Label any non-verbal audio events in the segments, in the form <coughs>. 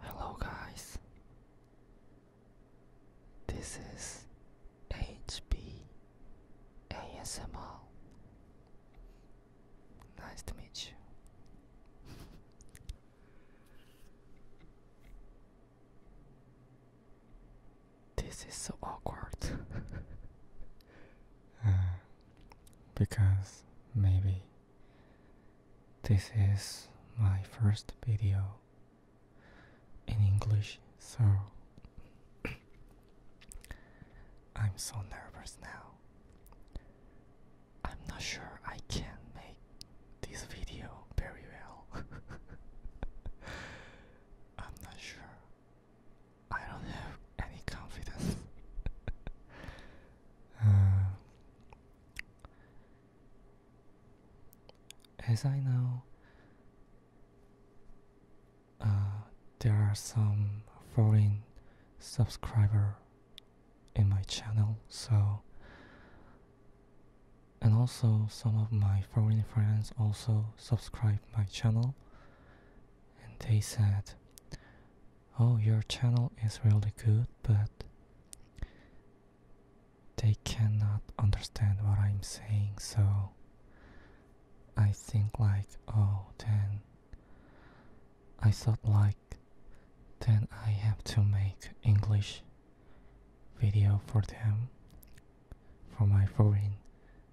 Hello, guys. This is HB ASMR. Nice to meet you. <laughs> this is so awkward. <laughs> Uh, because maybe this is my first video in English, so <coughs> I'm so nervous now. I'm not sure I can make this video very well. <laughs> I'm not sure I don't have any confidence. <laughs> Uh, as I know, uh, there are some foreign subscriber in my channel, so and also some of my foreign friends also subscribe my channel and they said, Oh, your channel is really good, but they cannot understand what I'm saying, so I think, like, oh, then I thought, like, then I have to make English video for them for my foreign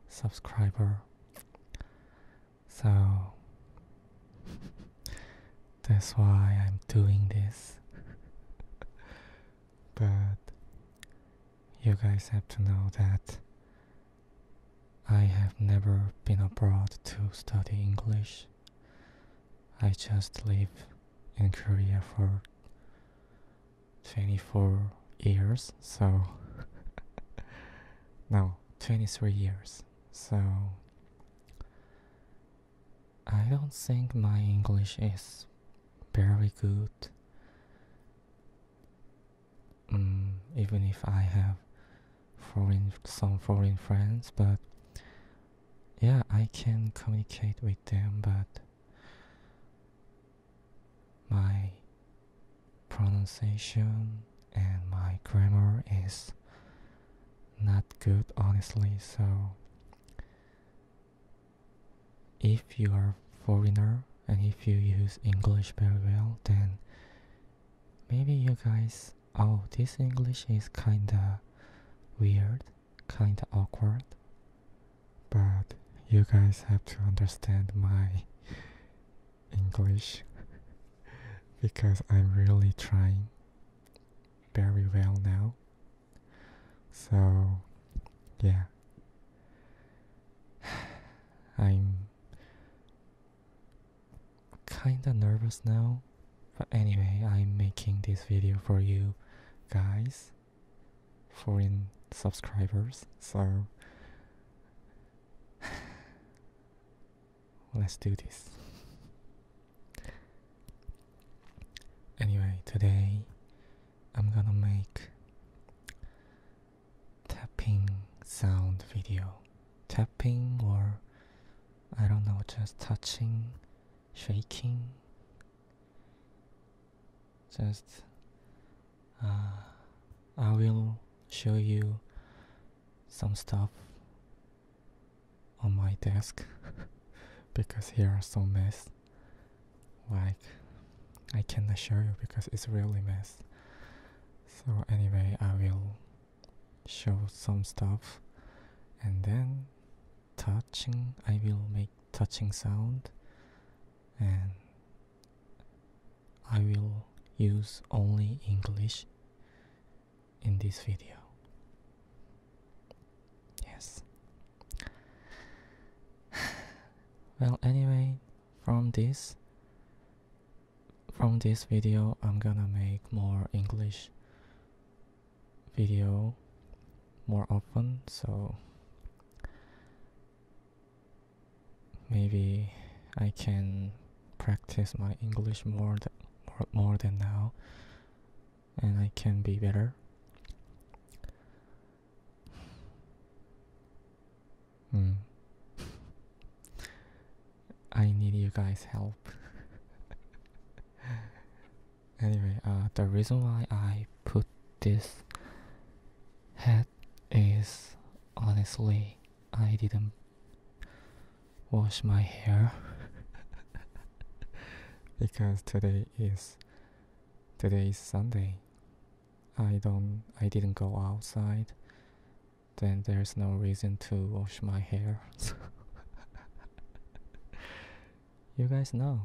subscriber so that's why I'm doing this. <laughs> but you guys have to know that I have never been abroad to study English. I just live in Korea for 24 years, so <laughs> no 23 years so i don't think my english is very good um, even if i have foreign some foreign friends but yeah i can communicate with them but my pronunciation and my grammar is not good, honestly. So, if you are foreigner and if you use English very well, then maybe you guys, oh, this English is kinda weird, kinda awkward, but you guys have to understand my English <laughs> because I'm really trying very well now. So, yeah. <sighs> I'm kinda nervous now, but anyway, I'm making this video for you guys, foreign subscribers. So, <sighs> Let's do this. Anyway, today I'm gonna make tapping sound video. Tapping or I don't know, just touching, shaking. Just uh, I will show you some stuff on my desk <laughs> because here are so mess like I cannot show you because it's really mess so anyway I will show some stuff and then touching I will make touching sound and I will use only English in this video. Yes. <sighs> well, anyway, from this from this video I'm gonna make more English video more often so maybe I can practice my English more th more, more than now and I can be better. Mm. I need you guys' help. <laughs> anyway, uh, the reason why I put this hat is honestly I didn't wash my hair <laughs> because today is today is Sunday. I don't I didn't go outside. Then there's no reason to wash my hair. <laughs> you guys know.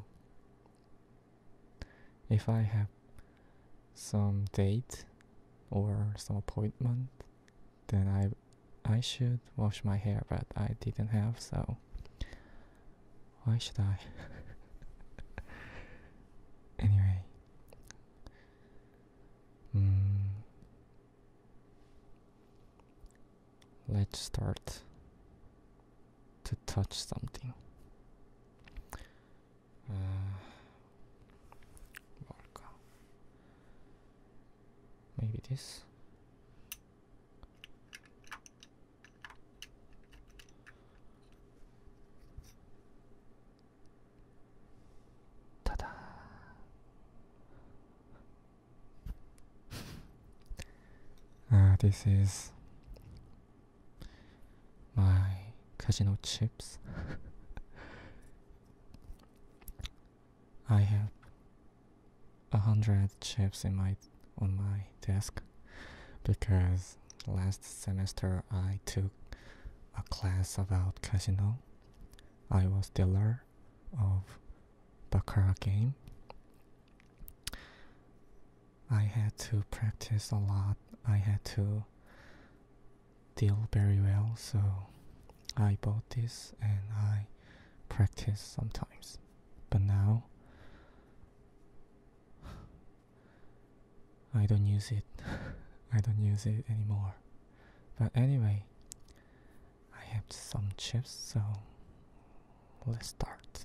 If I have some date or some appointment, then I I should wash my hair, but I didn't have so. Why should I? <laughs> anyway, hmm. let's start to touch something. Uh, Maybe this. Ta da! uh, <laughs> ah, this is my casino chips. <laughs> I have a hundred chips in my on my desk because last semester I took a class about casino. I was dealer of baccarat game. I had to practice a lot. I had to deal very well, so I bought this and I practice sometimes. But now I don't use it. <laughs> I don't use it anymore. But anyway, I have some chips, so let's start.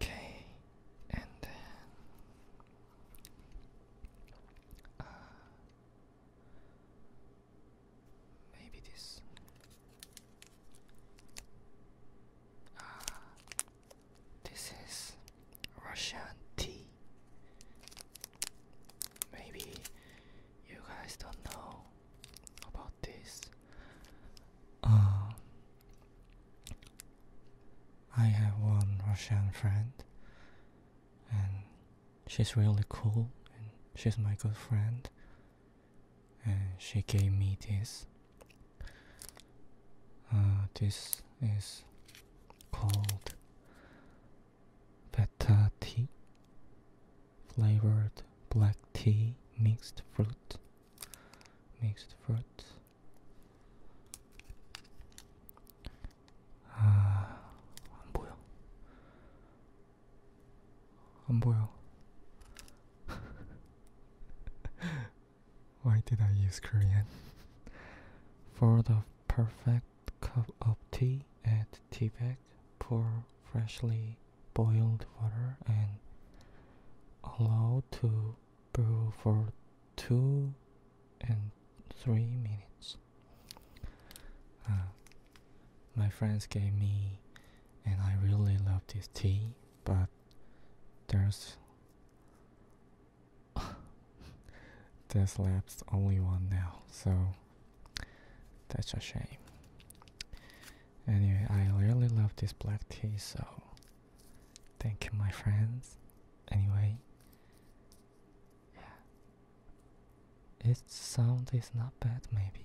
Okay, and uh, maybe this. Uh, this is Russian tea. Maybe you guys don't know about this. Uh, I have one Russian friend, and she's really cool, and she's my good friend, and she gave me this. Uh, this is called beta tea flavored black tea mixed fruit mixed fruit 아, 안 보여. 안 보여. Why did I use Korean? For the perfect cup of tea at Teabag? pour freshly boiled water and allow to brew for 2 and 3 minutes. Uh, my friends gave me and I really love this tea, but there's <laughs> there's left only one now, so that's a shame. Anyway, I really love this black tea, so thank you, my friends. Anyway, yeah, its sound is not bad, maybe.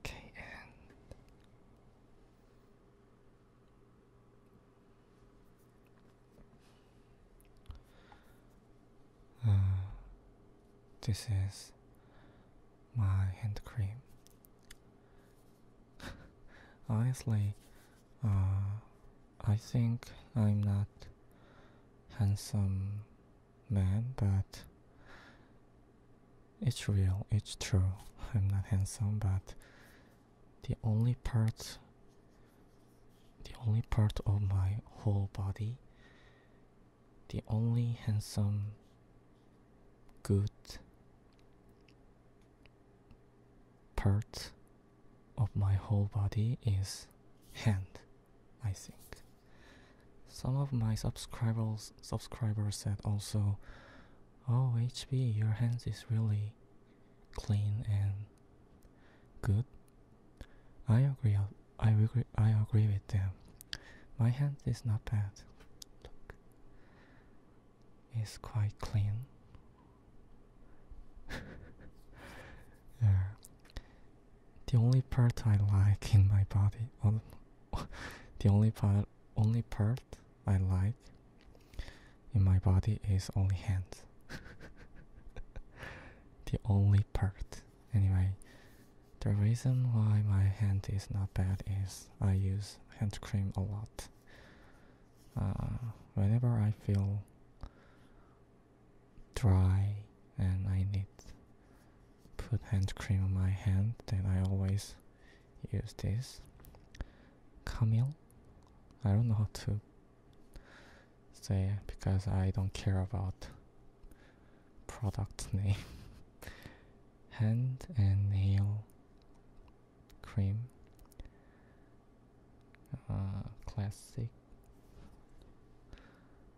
Okay, and uh, this is my hand cream. <laughs> Honestly, uh, I think I'm not handsome man, but it's real, it's true. <laughs> I'm not handsome, but the only part the only part of my whole body the only handsome good part of my whole body is hand I think. Some of my subscribers subscribers said also, "Oh, HB, your hands is really clean and good." I agree. I agree. I agree with them. My hand is not bad. Look, it's quite clean. yeah. <laughs> the only part I like in my body, <laughs> the only part, only part I like in my body is only hands. <laughs> the only part. Anyway, the reason why my hand is not bad is I use hand cream a lot. Uh, whenever I feel dry and I need put hand cream on my hand then I always use this Camille I don't know how to say because I don't care about product <laughs> name hand and nail cream uh, classic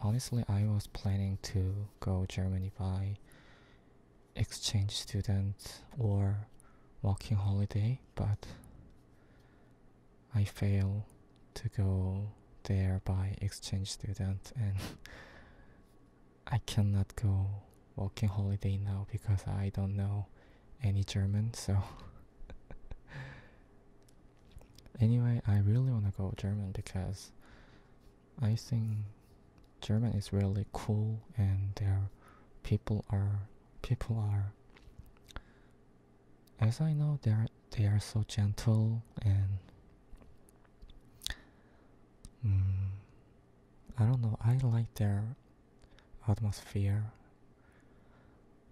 honestly i was planning to go germany by exchange student or walking holiday but i failed to go there by exchange student and <laughs> i cannot go walking holiday now because i don't know any german so <laughs> Anyway, I really want to go German because I think German is really cool and their people are people are as I know they are they are so gentle and hmm, I don't know I like their atmosphere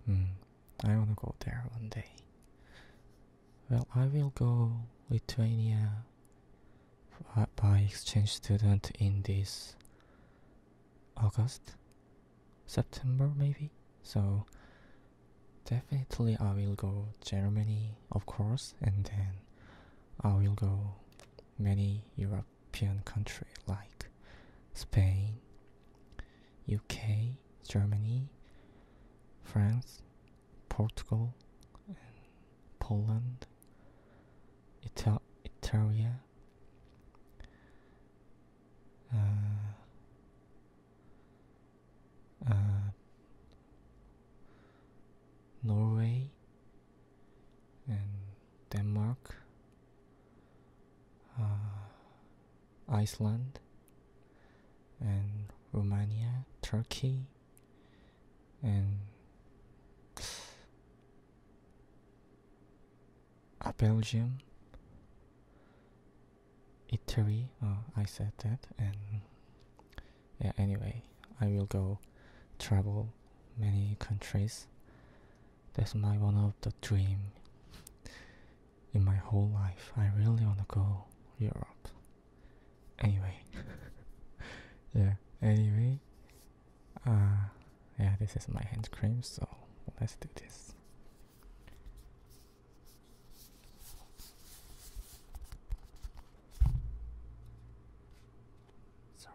hmm. I wanna go there one day. Well, I will go Lithuania by exchange student in this August, September maybe. So definitely I will go Germany, of course, and then I will go many European country like Spain, UK, Germany, France, Portugal, Poland, Ita Italia, uh, uh, Norway, and Denmark, uh, Iceland and Romania, Turkey, and uh, Belgium, Italy. Oh, I said that, and yeah. Anyway, I will go travel many countries. That's my one of the dream in my whole life. I really want to go Europe. Anyway, <laughs> yeah. Anyway, uh, yeah. This is my hand cream, so let's do this. Sorry.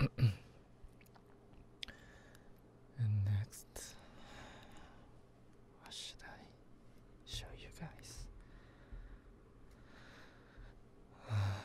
<coughs> and next, what should I show you guys? <sighs>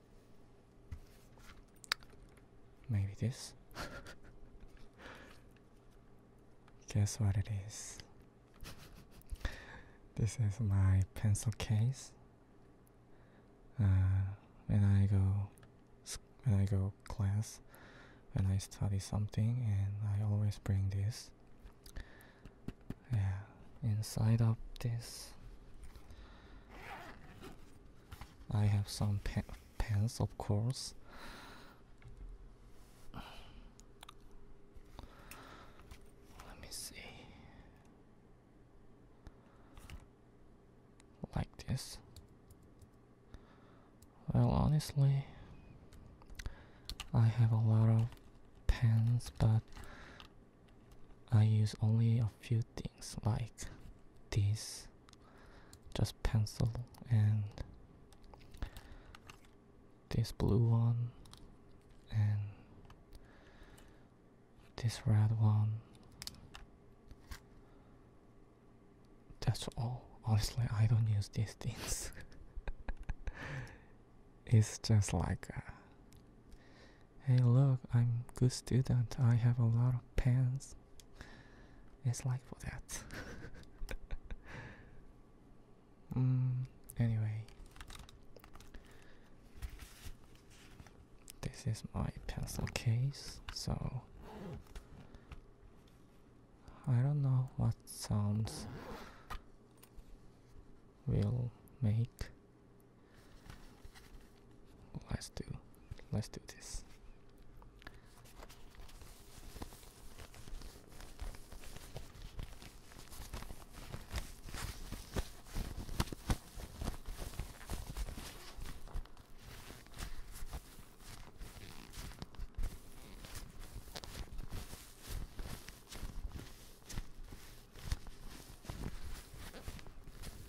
Maybe this? <laughs> Guess what it is? this is my pencil case. Uh, when I go, when I go class, when I study something, and I always bring this. Yeah, inside of this I have some pens, of course. Let me see. Like this. Well, honestly, I have a lot of pens, but I use only a few like this just pencil and this blue one and this red one that's all honestly i don't use these things <laughs> it's just like Hey, look, I'm good student. I have a lot of pens. It's like for that. <laughs> mm, anyway, this is my pencil case. So I don't know what sounds will make Let's do let's do this.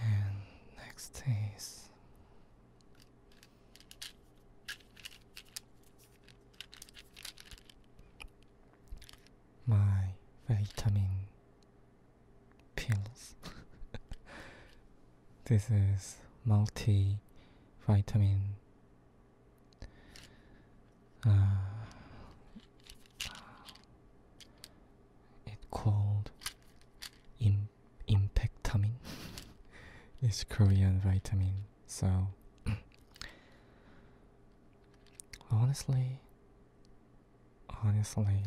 And next is my vitamin pills. <laughs> this is multi vitamin uh, it called in impectamin. <laughs> it's Korean vitamin. So <clears throat> honestly, honestly,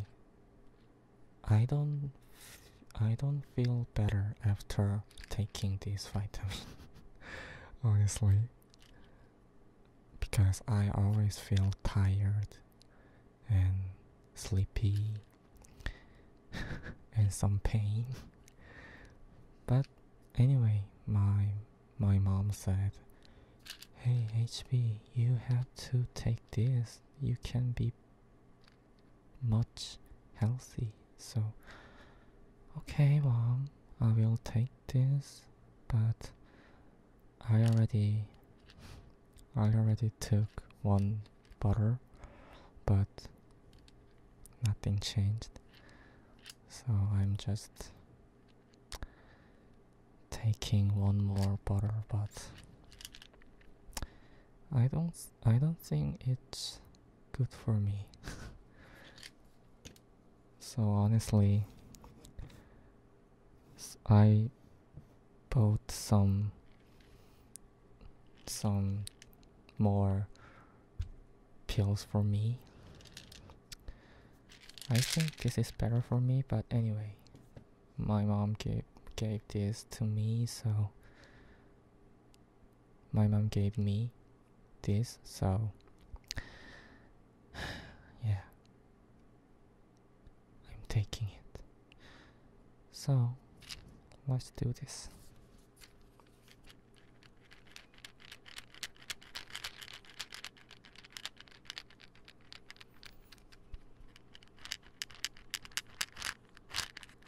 I don't I don't feel better after taking these vitamins, <laughs> Honestly, because I always feel tired and sleepy <laughs> and some pain. But anyway, my my mom said, "Hey HB, you have to take this. You can be much healthy. So, okay, Well, I will take this, but I already, I already took one butter, but nothing changed. So I'm just taking one more butter, but I don't, I don't think it's good for me. <laughs> so honestly, I bought some some more pills for me. I think this is better for me, but anyway, my mom gave gave this to me, so my mom gave me this, so <sighs> yeah, I'm taking it. So let's do this.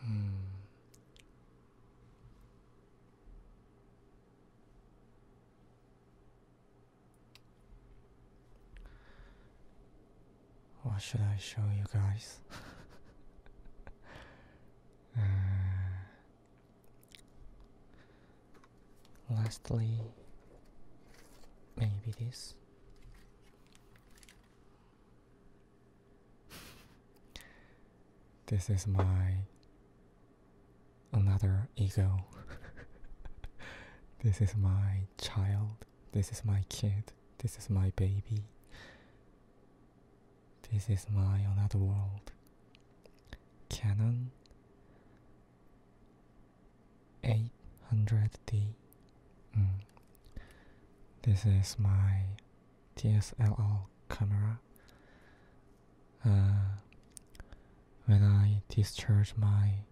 Hmm. What should I show you guys? <laughs> uh, Lastly, maybe this. This is my another ego. <laughs> this is my child. This is my kid. This is my baby. This is my another world. Canon 800D. Mm. This is my DSLR camera. Uh, when I discharged my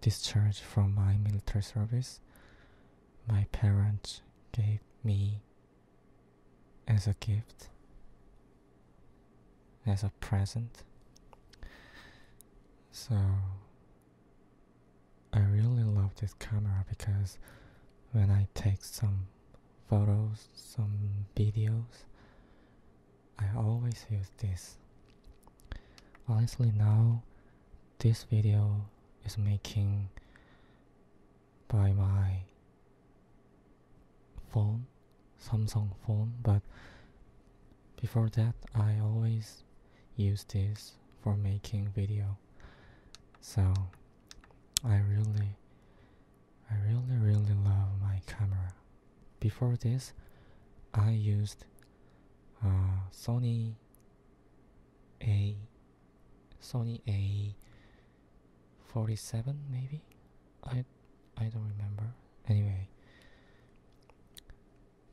discharge from my military service, my parents gave me as a gift as a present. So I really love this camera because when I take some photos, some videos, I always use this. Honestly, now this video is making by my phone, Samsung phone, but before that I always use this for making video. So I really I really really love my camera. Before this I used uh, Sony A Sony A47 maybe I I don't remember. Anyway,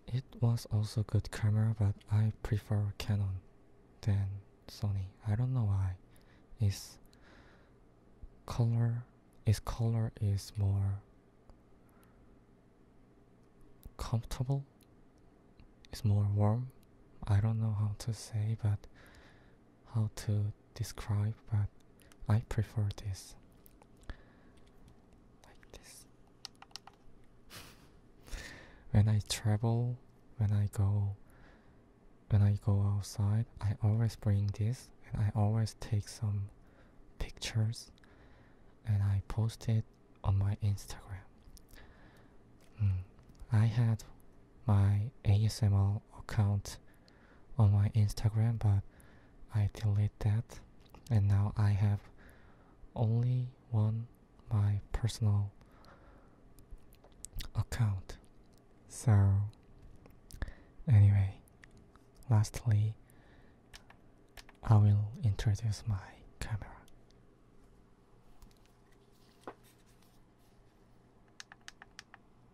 it was also good camera, but I prefer Canon than Sony. I don't know why. Its color, its color is more comfortable. It's more warm. I don't know how to say, but how to describe, but I prefer this. Like this. <laughs> when I travel, when I go, when I go outside, I always bring this, and I always take some pictures, and I post it on my Instagram. Mm. I had my ASML account on my Instagram, but I delete that, and now I have only one my personal account. So, anyway, lastly, I will introduce my camera.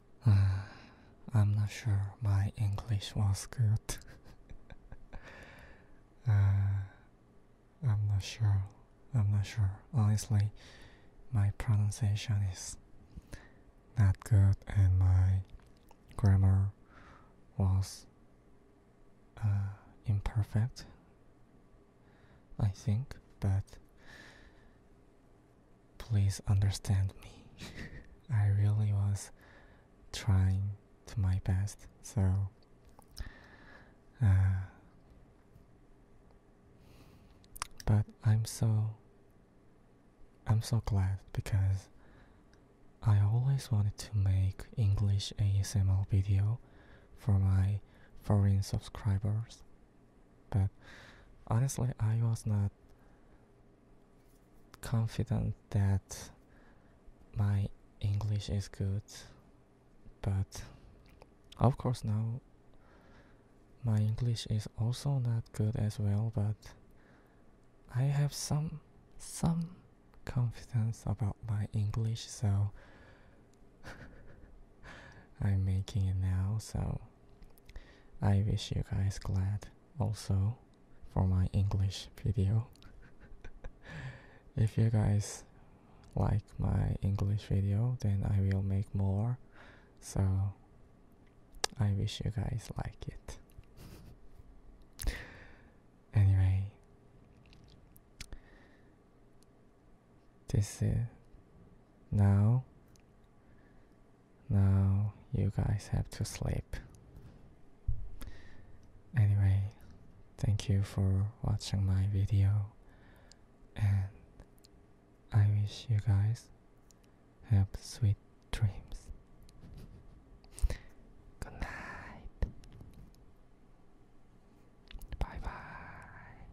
<sighs> I'm not sure my English was good. <laughs> Uh, I'm not sure. I'm not sure. Honestly, my pronunciation is not good, and my grammar was uh, imperfect, I think, but Please understand me. <laughs> I really was trying to my best, so uh, but I'm so I'm so glad because I always wanted to make English ASML video for my foreign subscribers, but honestly, I was not confident that my English is good, but of course now my English is also not good as well, but I have some some confidence about my English, so <laughs> I'm making it now, so I wish you guys glad also for my English video. <laughs> if you guys like my English video, then I will make more. So I wish you guys like it. <laughs> anyway, this is now now you guys have to sleep. Anyway, thank you for watching my video, and I wish you guys have sweet dreams. Good night. Bye bye.